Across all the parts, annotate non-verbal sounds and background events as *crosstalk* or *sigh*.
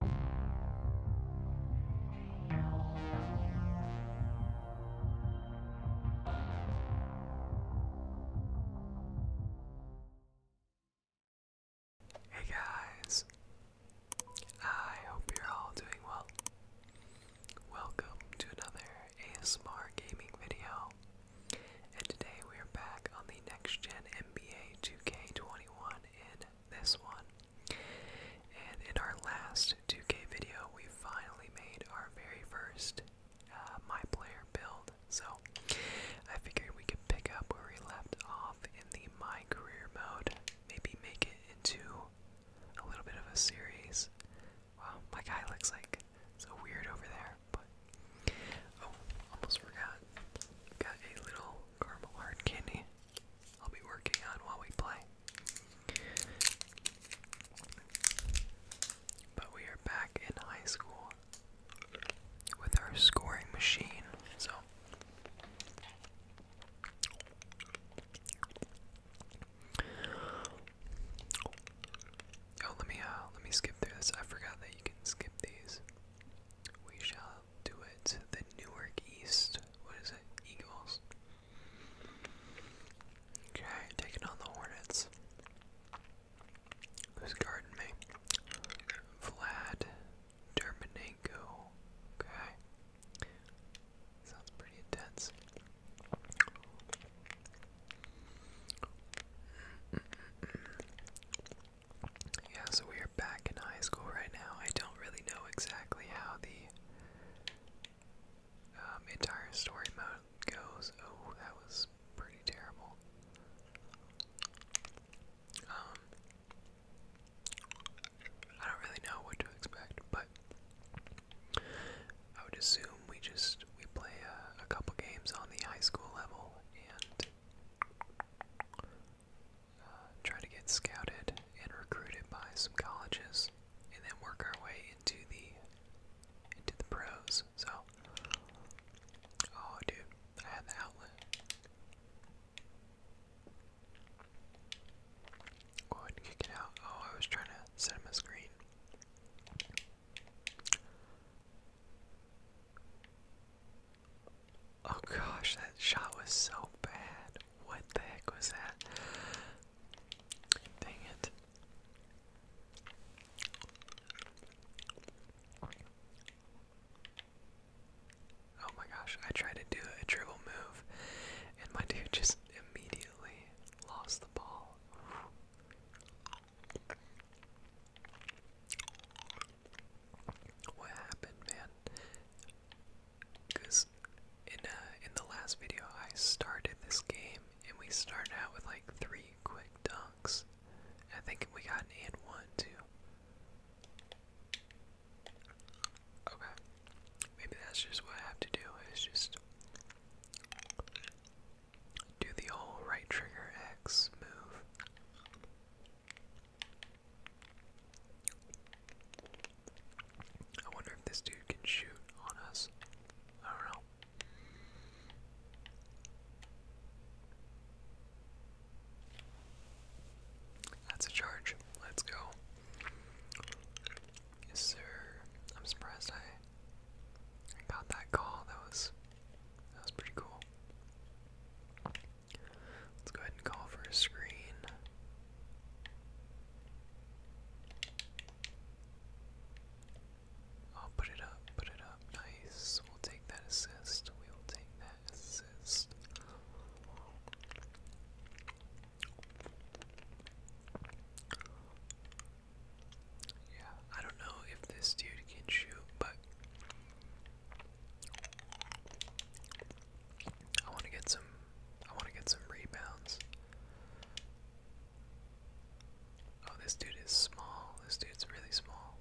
Hey guys, I hope you're all doing well. Welcome to another ASMR gaming video, and today we are back on the next gen NBA 2K21. In this one, and in our last 2K video, we finally made our very first uh, My Player build. So I figured we could pick up where we left off in the My Career mode, maybe make it into a little bit of a series. Wow, my guy looks like so weird over there, but. Oh, almost forgot. Got a little caramel hard candy I'll be working on while we play. But we are back in high school with our scoring machine, so Oh, let me uh, let me skip through this. I forgot that you can skip these. We shall do it. The Newark East. What is it? Eagles. Okay, taking on the Hornets. Who's guarding me? Vlad Dermanenko. Okay. Sounds pretty intense. Yeah, so we are back in high school right now. I don't really know exactly how the um, entire story mode goes. Oh, that was pretty terrible. Um, I don't really know what to expect, but I would assume we just we play a, a couple games on the high school level and uh, try to get scouted and recruited by some colleges, and then work our way into the into the pros. So, oh, dude, I had the outlet. Go ahead and kick it out. Oh, I was trying to set him a screen. Oh gosh, that shot was so bad. What the heck was that? Dang it. Oh my gosh, I tried to do a dribble move and my dude just immediately lost the ball what happened, man? Because in uh, in the last video, I started this game and we started out with like three quick dunks. I think we got an one too. Okay, maybe that's just what I have to do. Is just do the whole right trigger X move. I wonder if this dude can shoot on us. I don't know. That's a charge. Let's go. Yes, sir. I'm surprised I got that call. That was that was pretty cool. Let's go ahead and call for a screen. I'll put it up, put it up. Nice. We'll take that assist. We will take that assist. Yeah, I don't know if this dude can shoot, but I want to get some I want to get some rebounds. Oh, this dude is small. This dude's really small.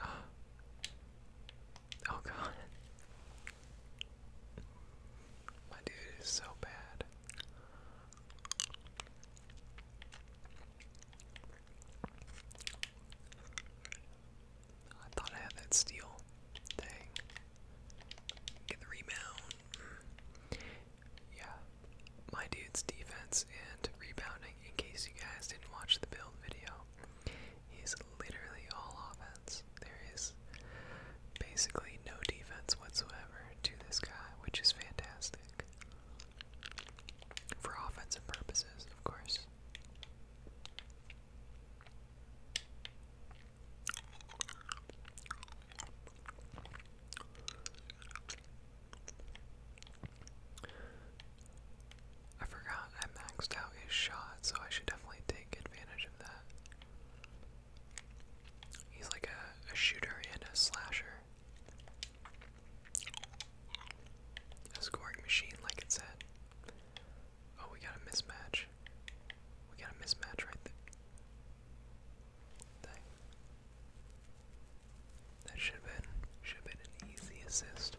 *gasps* Oh, god. My dude is so bad. I thought I had that steal. Dang. Get the rebound. Mm. Yeah. My dude's defense and rebounding, in case you guys didn't watch the build video, he's literally all offense. There is basically no defense whatsoever to this guy, which is fantastic. For offensive purposes, of course. I forgot I maxed out his shot, so I should definitely take advantage of that. He's like a, a shooter and a slasher. A scoring machine, like it said. Oh, we got a mismatch. We got a mismatch right there. That should have been should have been an easy assist.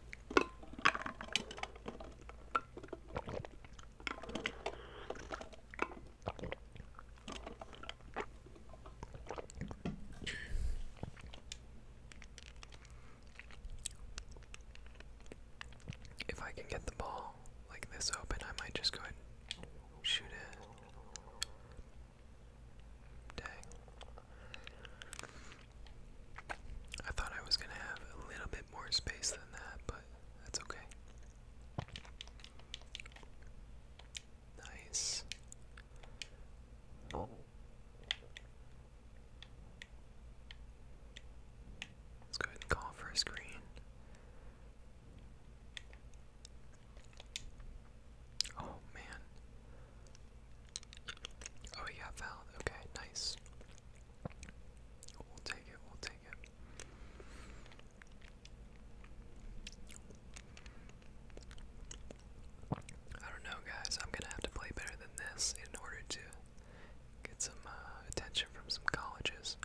If I can get the ball like this open, I might just go ahead shoot it. Dang. I thought I was going to have a little bit more space than that, but that's okay. Nice. Oh. Let's go ahead and call for a screen. Oh man. Oh yeah, fouled. Okay, nice. We'll take it, we'll take it. I don't know, guys. I'm gonna have to play better than this in order to get some uh, attention from some colleges.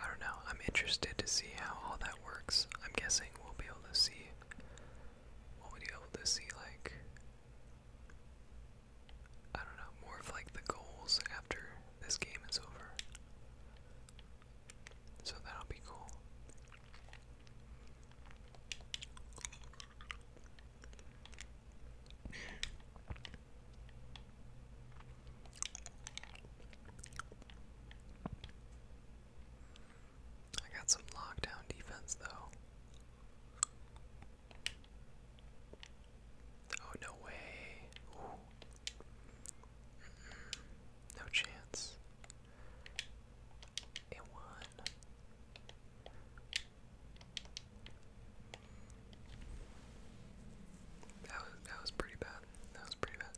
I don't know. I'm interested to see how all that works. I'm guessing we'll be able to see. We'll be able to see like I don't know, more of like the goals after this game is over. So that'll be cool. I got some lockdown defense though. Oh, no way. No chance. It won. That was that was pretty bad. That was pretty bad.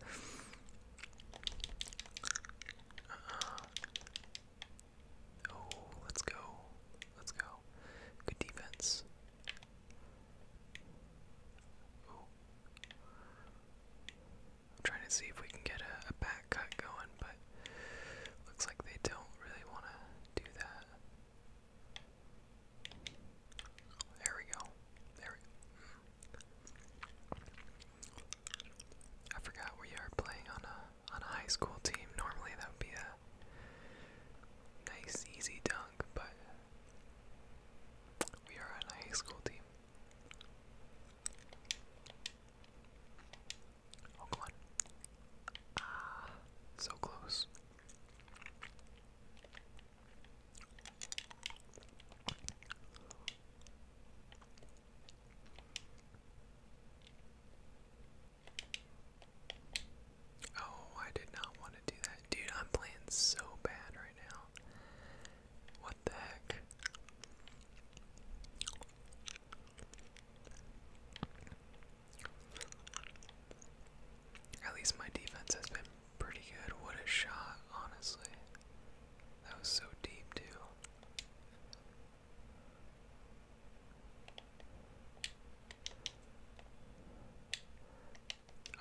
Uh, -uh. Oh, let's go. Let's go. Good defense. I'm trying to see if we can get a, back cut going, but looks like they don't really want to do that. There we go. There I forgot we are playing on a on a high school team, normally that would be a nice, easy dunk, but we are on a high school team. Oh, come on. Ah, so close. Oh, I did not want to do that. Dude, I'm playing so bad right now. What the heck? At least my defense has been pretty good. What a shot, honestly. That was so deep, too.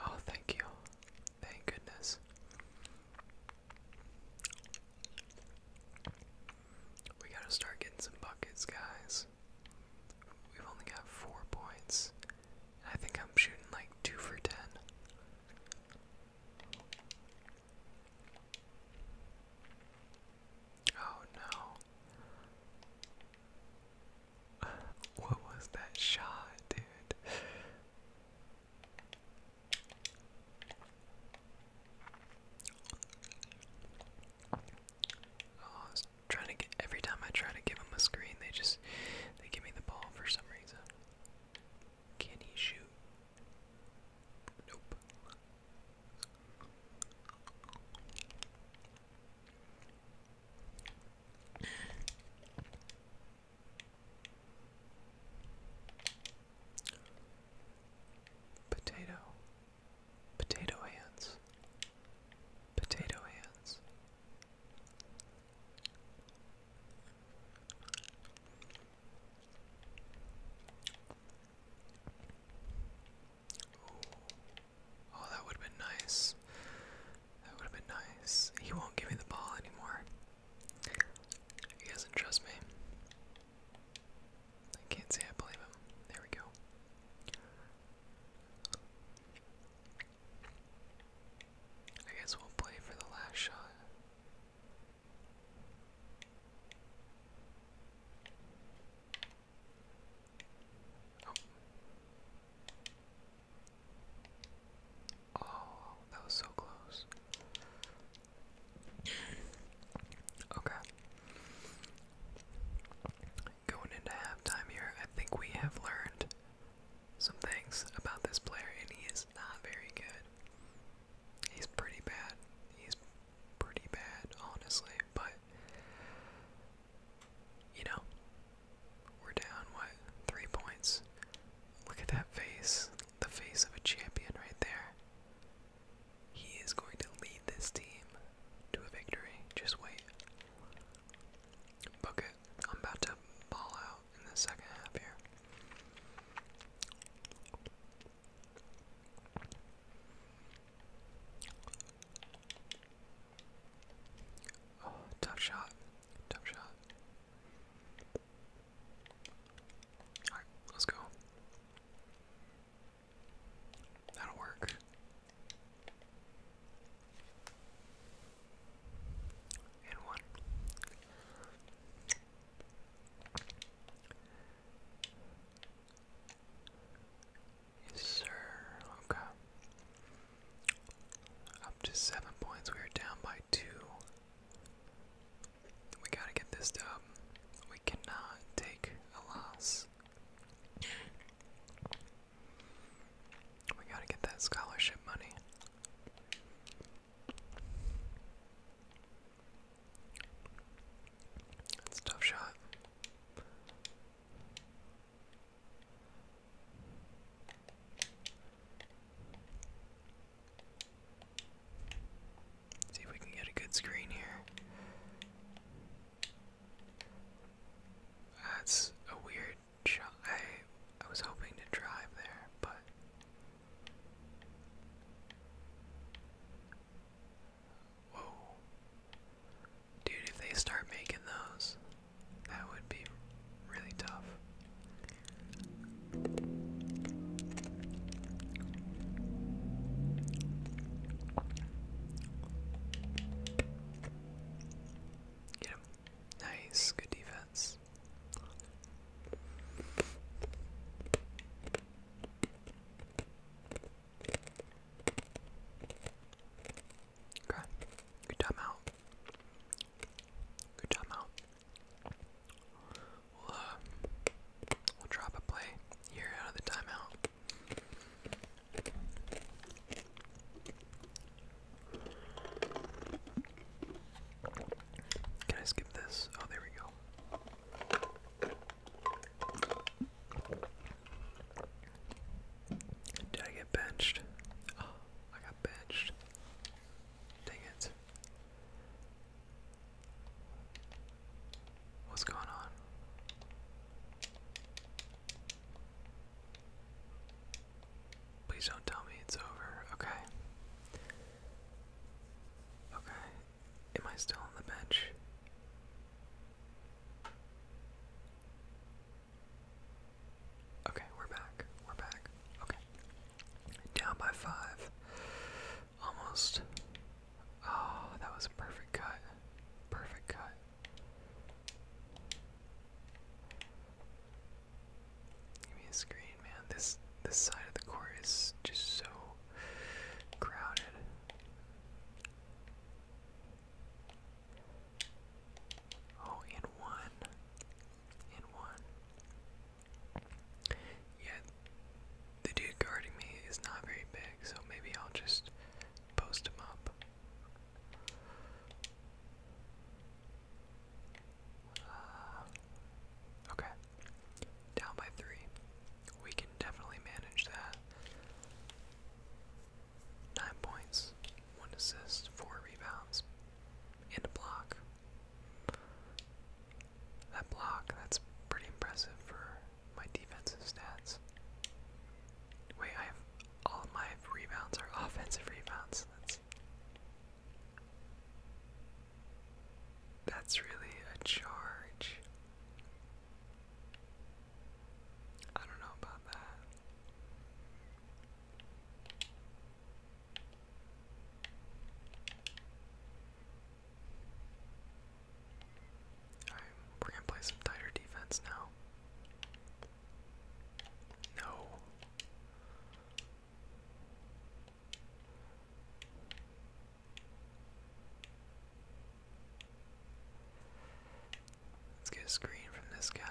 Oh, thank you. Thank goodness. We gotta start getting some buckets, guys. We've only got four points. I think I'm shooting like two for ten. Oh no. What was that shot, dude? Oh, trying to get every time I try to give him a screen, they just they give me the ball for some reason. Can he shoot? Nope. Potato, potato hands, potato hands. Oh, that would have been nice. That would have been nice. He won't give me the ball anymore. He does trust me. I can't say I believe him. There we go. I guess we'll play for the last shot. Oh. that was so close. Okay. Going into halftime here, I think we have learned some things about this player, and he is not very good. He's pretty bad. He's pretty bad, honestly, but you know, we're down what, three points. Look at that face. The face of a champion right there. He is going to lead this team to a victory. Just wait. Book it. I'm about to ball out in the second half here. Oh, tough shot. Tough shot. Alright, let's go. That'll work. And one. Yes, sir. Okay. Up to seven points. We are down by two. We gotta get this done. We cannot take a loss. We gotta get that scholarship money. That's a tough shot. see if we can get a good screen here. That's a weird shot. I I was hoping to drive there, but Whoa. Dude, if they start making those, that would be really tough. Get Nice, good defense. Okay. Good job Good job We'll, uh, we'll drop a play here out of the timeout. Can I skip this? Oh, there we go. Did I get benched? Oh, I got benched. Dang it. What's going on? Please don't tell me it's over. Okay. Okay, Am I still on the bench? Okay, we're back. We're back. Okay. Down by five. Almost. Oh, that was a perfect cut. Perfect cut. Give me a screen, man. This this side of the court is just so crowded. Oh, in one. In one. Yeah, the dude guarding me is not very big, so maybe I'll just post him up. Uh, okay. Down by three we can definitely manage that. Nine points, one assist, four rebounds, and a block. That block, that's pretty impressive for my defensive stats. Wait, I have all my rebounds are offensive rebounds. That's that's really a charge. I don't know about that. we're gonna play some tighter defense now. No. Let's get a screen from this guy.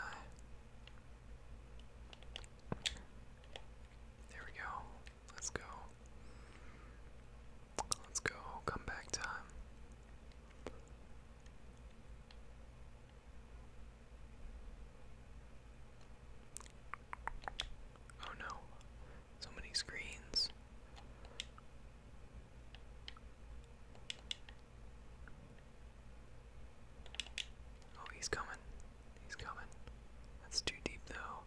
There we go. Let's go. Let's go. Come back time. Oh no. So many screens. Oh, he's coming. He's coming. That's too deep, though.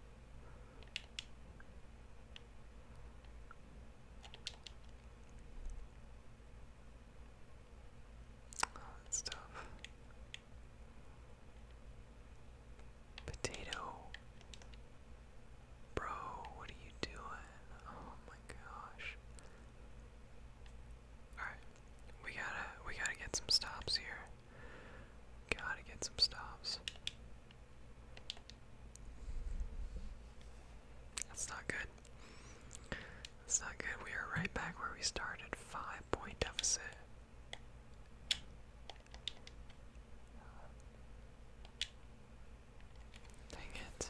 Oh, that's tough. Potato. Bro, what are you doing? Oh my gosh. Alright. We gotta we gotta get some stops here. Gotta get some stops. That's not good. That's not good. We are right back where we started. Five point deficit. Dang it.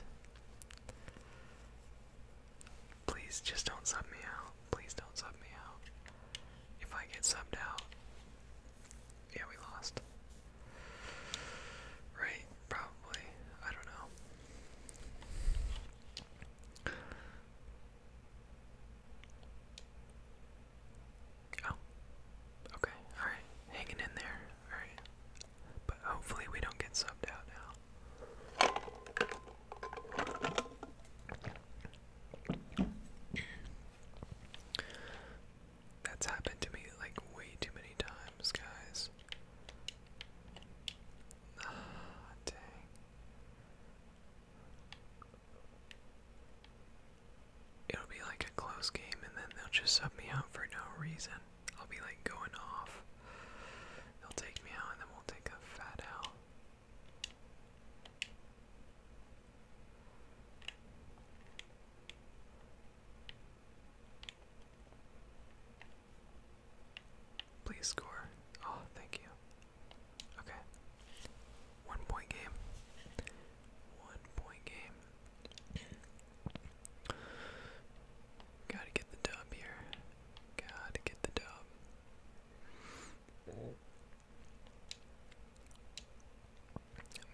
Please just don't sub me out. Please don't sub me out. If I get subbed out. Yeah, we lost. Right, probably. I don't know. Oh. Okay. Alright. Hanging in there. Alright. But hopefully we don't get subbed out now. That's happened to me like way too many times, guys. Ah, dang it'll be like a close game and then they'll just sub me out for no reason. I'll be like going off. They'll take me out and then we'll take a fat out. Please score. Oh, thank you. Okay. One point game. One point game. Gotta get the dub here. Gotta get the dub.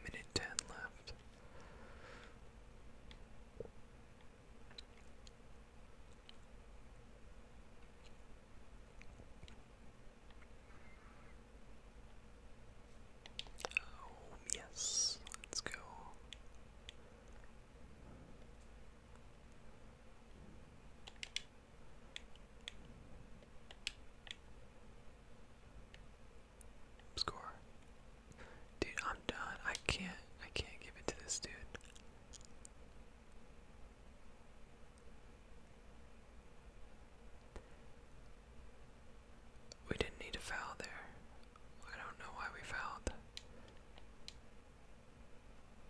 minute ten left. Oh, yes, let's go. Score. Dude, I'm done. I can't I can't give it to this dude. We didn't need a foul there. I don't know why we fouled.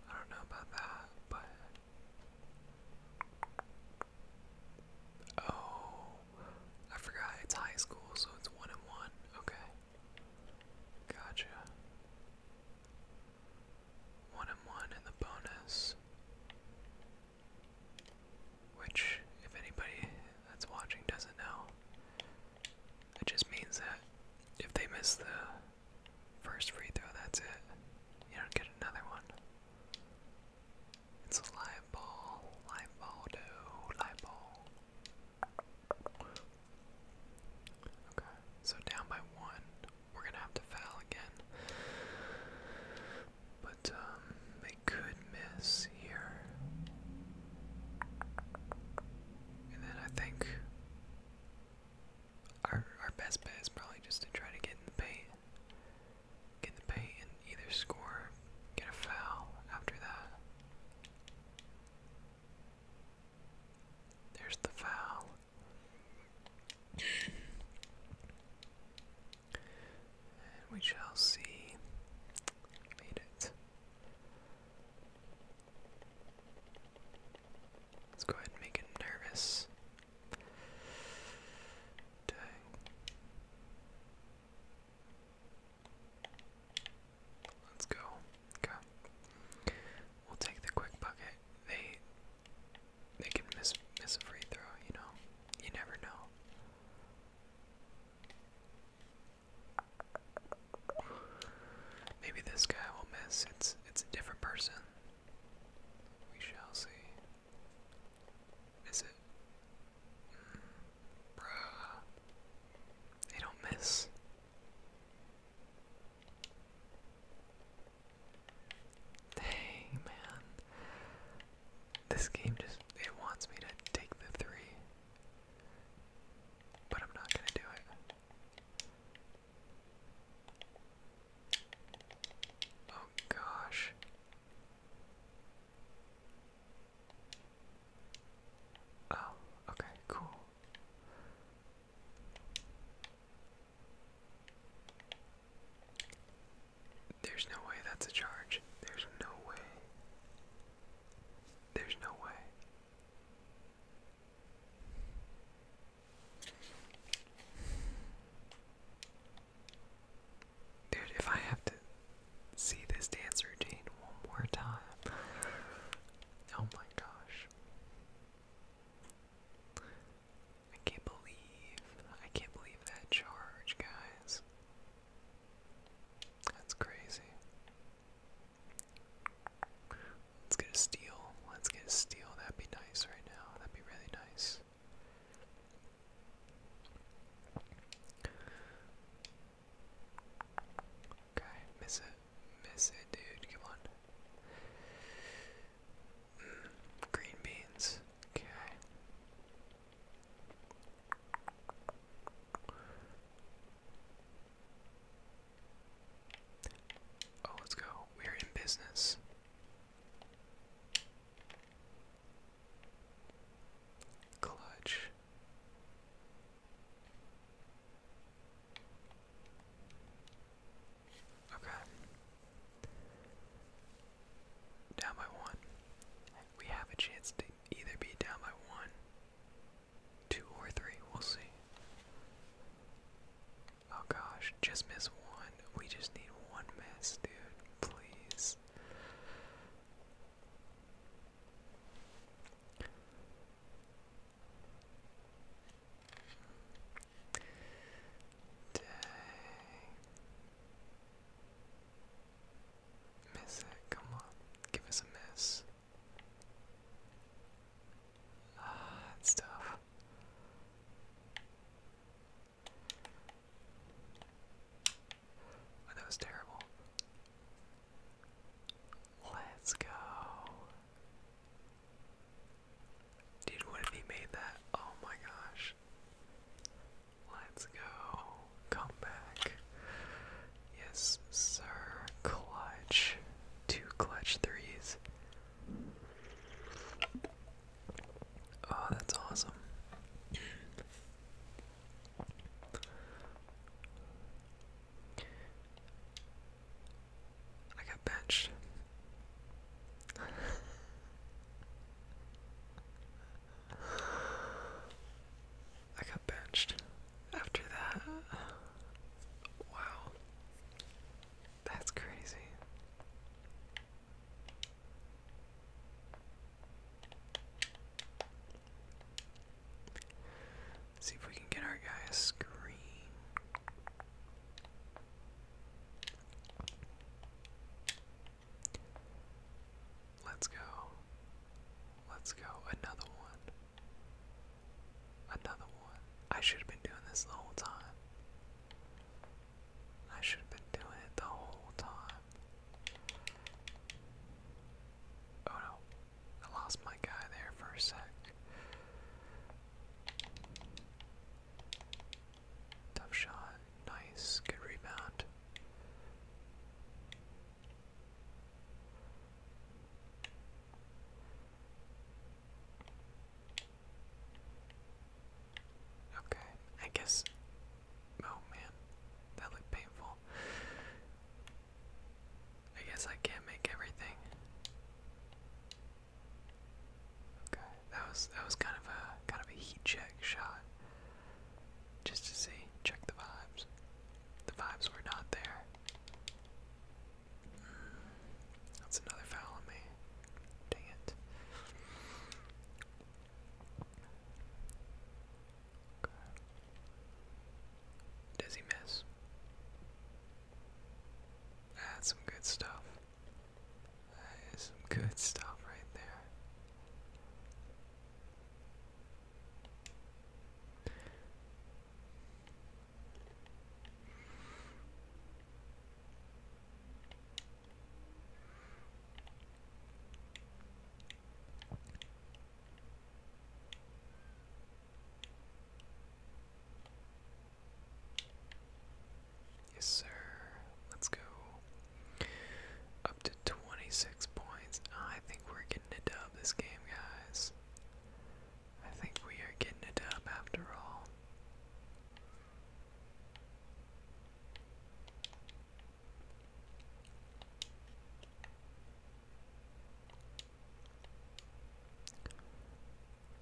I don't know about that, but oh, I forgot it's high school, so it's one and one. Okay, gotcha. One and one in the bonus. Which, if anybody that's watching doesn't know, it just means that if they miss the first free throw, that's it. You don't get another one. It's a live ball, live ball, do, live ball. Okay, so down by one. We're gonna have to foul again. But um, they could miss here. And then I think our our best bet is probably just to try to get in the paint. Get in the paint and either score, get a foul after that. There's the foul. And we shall see. Made it. Let's go ahead and make it nervous. Dang. Let's go. Okay. We'll take the quick bucket. They they can miss miss a free throw, you know. You never know. Maybe this guy will miss. It's it's a different person. We shall see. Is it? Mm, They don't miss. Dang, man. This game just it wants me to take the three. But I'm not gonna do it. Oh gosh. Oh, okay, cool. There's no way that's a charge. There's no way. There's no way. Dude, if I have to see this dance routine one more time. Oh my gosh. I can't believe. I can't believe that charge, guys. That's crazy. Let's get a steal. Let's get a steal. That'd be nice right now. That'd be really nice. Okay, miss it. Miss it, dude. Come on. Mm, green beans. Okay. Oh, let's go. We're in business. Clutch. Okay. Down by one. We have a chance to either be down by one, two, or three. We'll see. Oh gosh, just miss one. We just need one miss, dude. Please. Miss it, come on. Give us a miss. Ah, that's tough. Oh, that was terrible. Let's go. Dude, what if he made that? Oh my gosh. Let's go. Come back. Yes, sir. Clutch. Two clutch threes. Oh, that's awesome. I got benched. *laughs* I got benched after that. Wow. That's crazy. see if we can get our guy a screen. Let's go. Let's go. Another one. Another one. I should have been doing this the whole time. I should have been doing it the whole time. Oh no. I lost my guy there for a sec. Tough shot. Nice. Good rebound. Okay. I guess. Oh man. That looked painful. I guess I can't make everything. Okay, that was that was kind of a kind of a heat check shot, just to see, check the vibes. The vibes were not there. Hmm, that's another foul on me. Dang it. Does he miss? That's some good stuff. That is some good stuff right there. Yes, sir. Let's go. Up to 26 points. I think we're getting a dub this game, guys. I think we are getting a dub after all.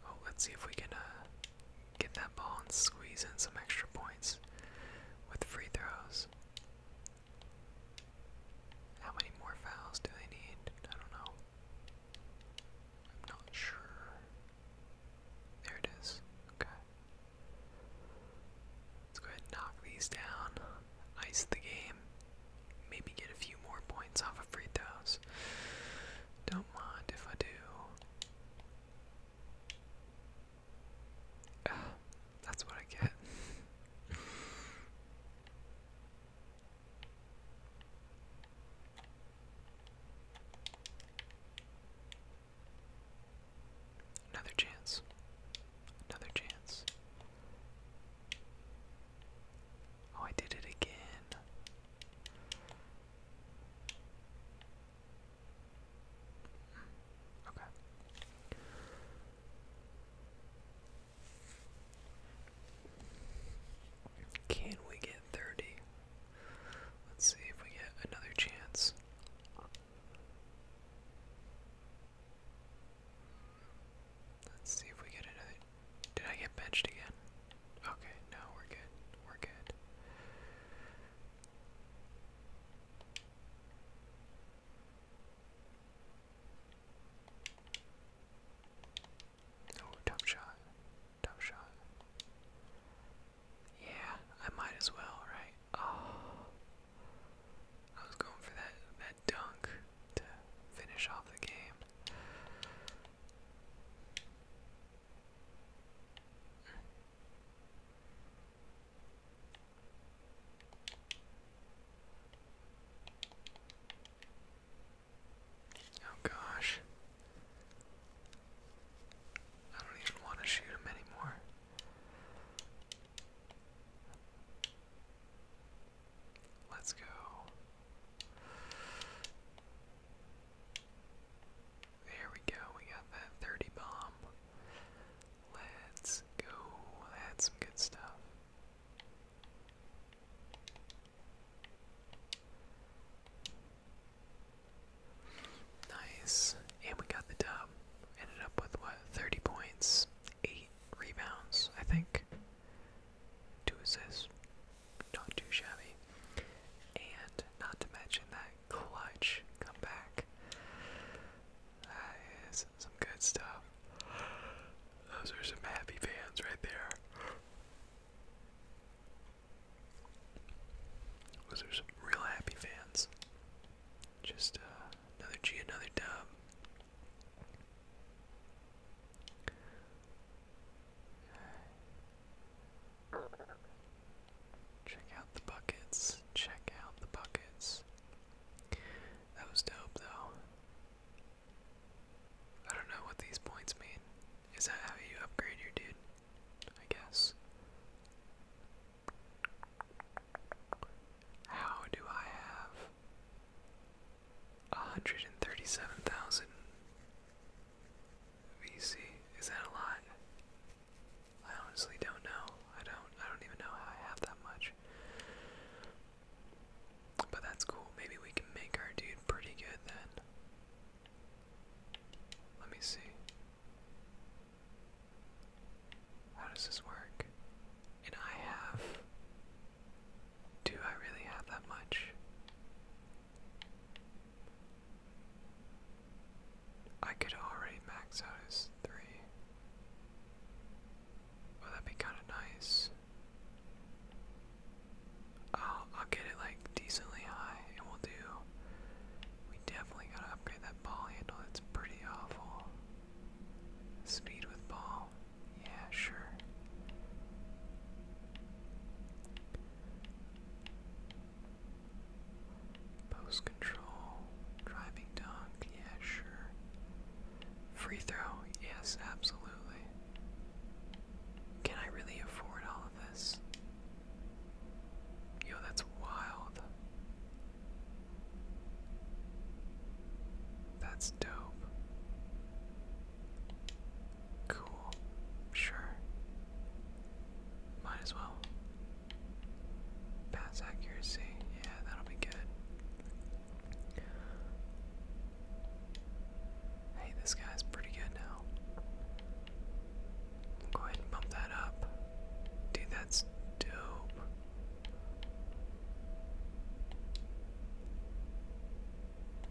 Oh, let's see if we can uh, get that ball and squeeze in some extra points with free throws. How many more fouls do they need? I don't know. I'm not sure. There it is. Okay. Let's go ahead and knock these down. Ice the game. Maybe get a few more points off of free throws. Don't mind if I do. *sighs* that's what I get. Another chance. Another chance. Oh, I did it again. Can we get 30? Let's see if we get another chance. Let's see if we get another. Did I get benched again? Okay, no, we're good. We're good. Oh, tough shot. Tough shot. Yeah, I might as well, right? Oh. I was going for that that dunk to finish off the game. Oh gosh. I don't even want to shoot him anymore. Let's go. There we go, we got that 30 bomb. Let's go. That's some good stuff. Nice. And we got the dub. Ended up with what? 30 points, 8 rebounds, I think. 2 assists. Not too shabby. And not to mention that clutch back. That is some good stuff. Those are some happy fans right there. Those are some real happy fans. Just uh, another G, another dub. Check out the buckets. Check out the buckets. That was dope, though. I don't know what these points mean. Is that how you upgrade your dude? I guess. How do I have 137,000 VC? Is that a lot? I honestly don't know. I don't I don't even know how I have that much. But that's cool. Maybe we can make our dude pretty good then. Let me see. How does this work? And I have. Do I really have that much? I could already max out his three. Well, that be kind of nice. I'll, I'll get it like decently high, and we'll do. We definitely gotta upgrade that ball handle. It's pretty awful. Speed with ball. Yeah, sure. Post control. Driving dunk. Yeah, sure. Free throw. Yes, absolutely. Can I really afford all of this? Yo, that's wild. That's dope. Cool. Sure. Might as well. Pass accuracy. Yeah, that'll be good. Hey, this guy's pretty good now. Go ahead and bump that up. Dude, that's dope.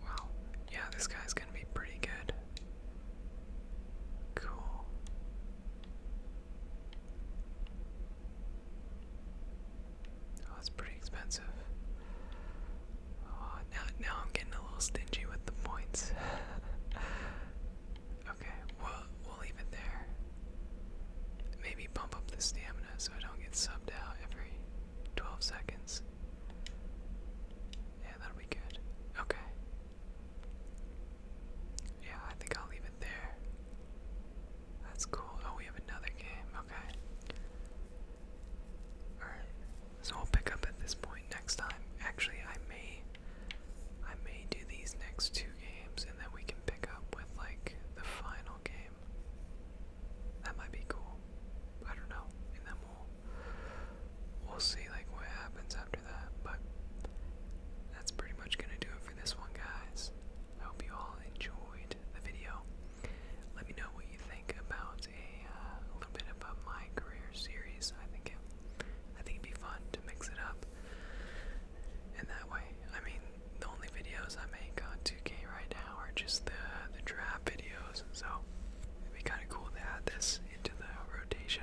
Wow. Yeah, this guy's gonna be pretty good. Cool. Oh, that's pretty expensive. Oh, now, I'm getting a little stingy with the points. *laughs* okay, we we'll leave it there. Maybe bump up the stamina so I don't get subbed out every 12 seconds. Yeah, that'll be good. Okay. Yeah, I think I'll leave it there. That's cool. Oh, we have another game. Okay. Alright. So we'll pick up at this point next time. Actually, I may I may do these next two games and then we can pick up with like the final game. That might be cool. I don't know. And then we'll we'll see like what happens after that. But that's pretty much gonna do it for this one, guys. I hope you all enjoyed the video. Let me know what you think about a, uh, little bit about my career series. I think I think it'd be fun to mix it up. And that way, I mean, the only videos I make on 2K right now are just the the draft videos. So it'd be kind of cool to add this into the rotation.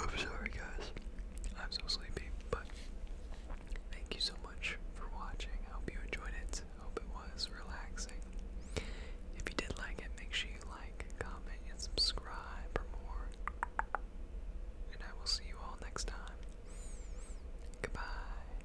I'm sorry, guys. I'm so sleepy, but thank you so much for watching. I hope you enjoyed it. I hope it was relaxing. If you did like it, make sure you like, comment, and subscribe for more. And I will see you all next time. Goodbye.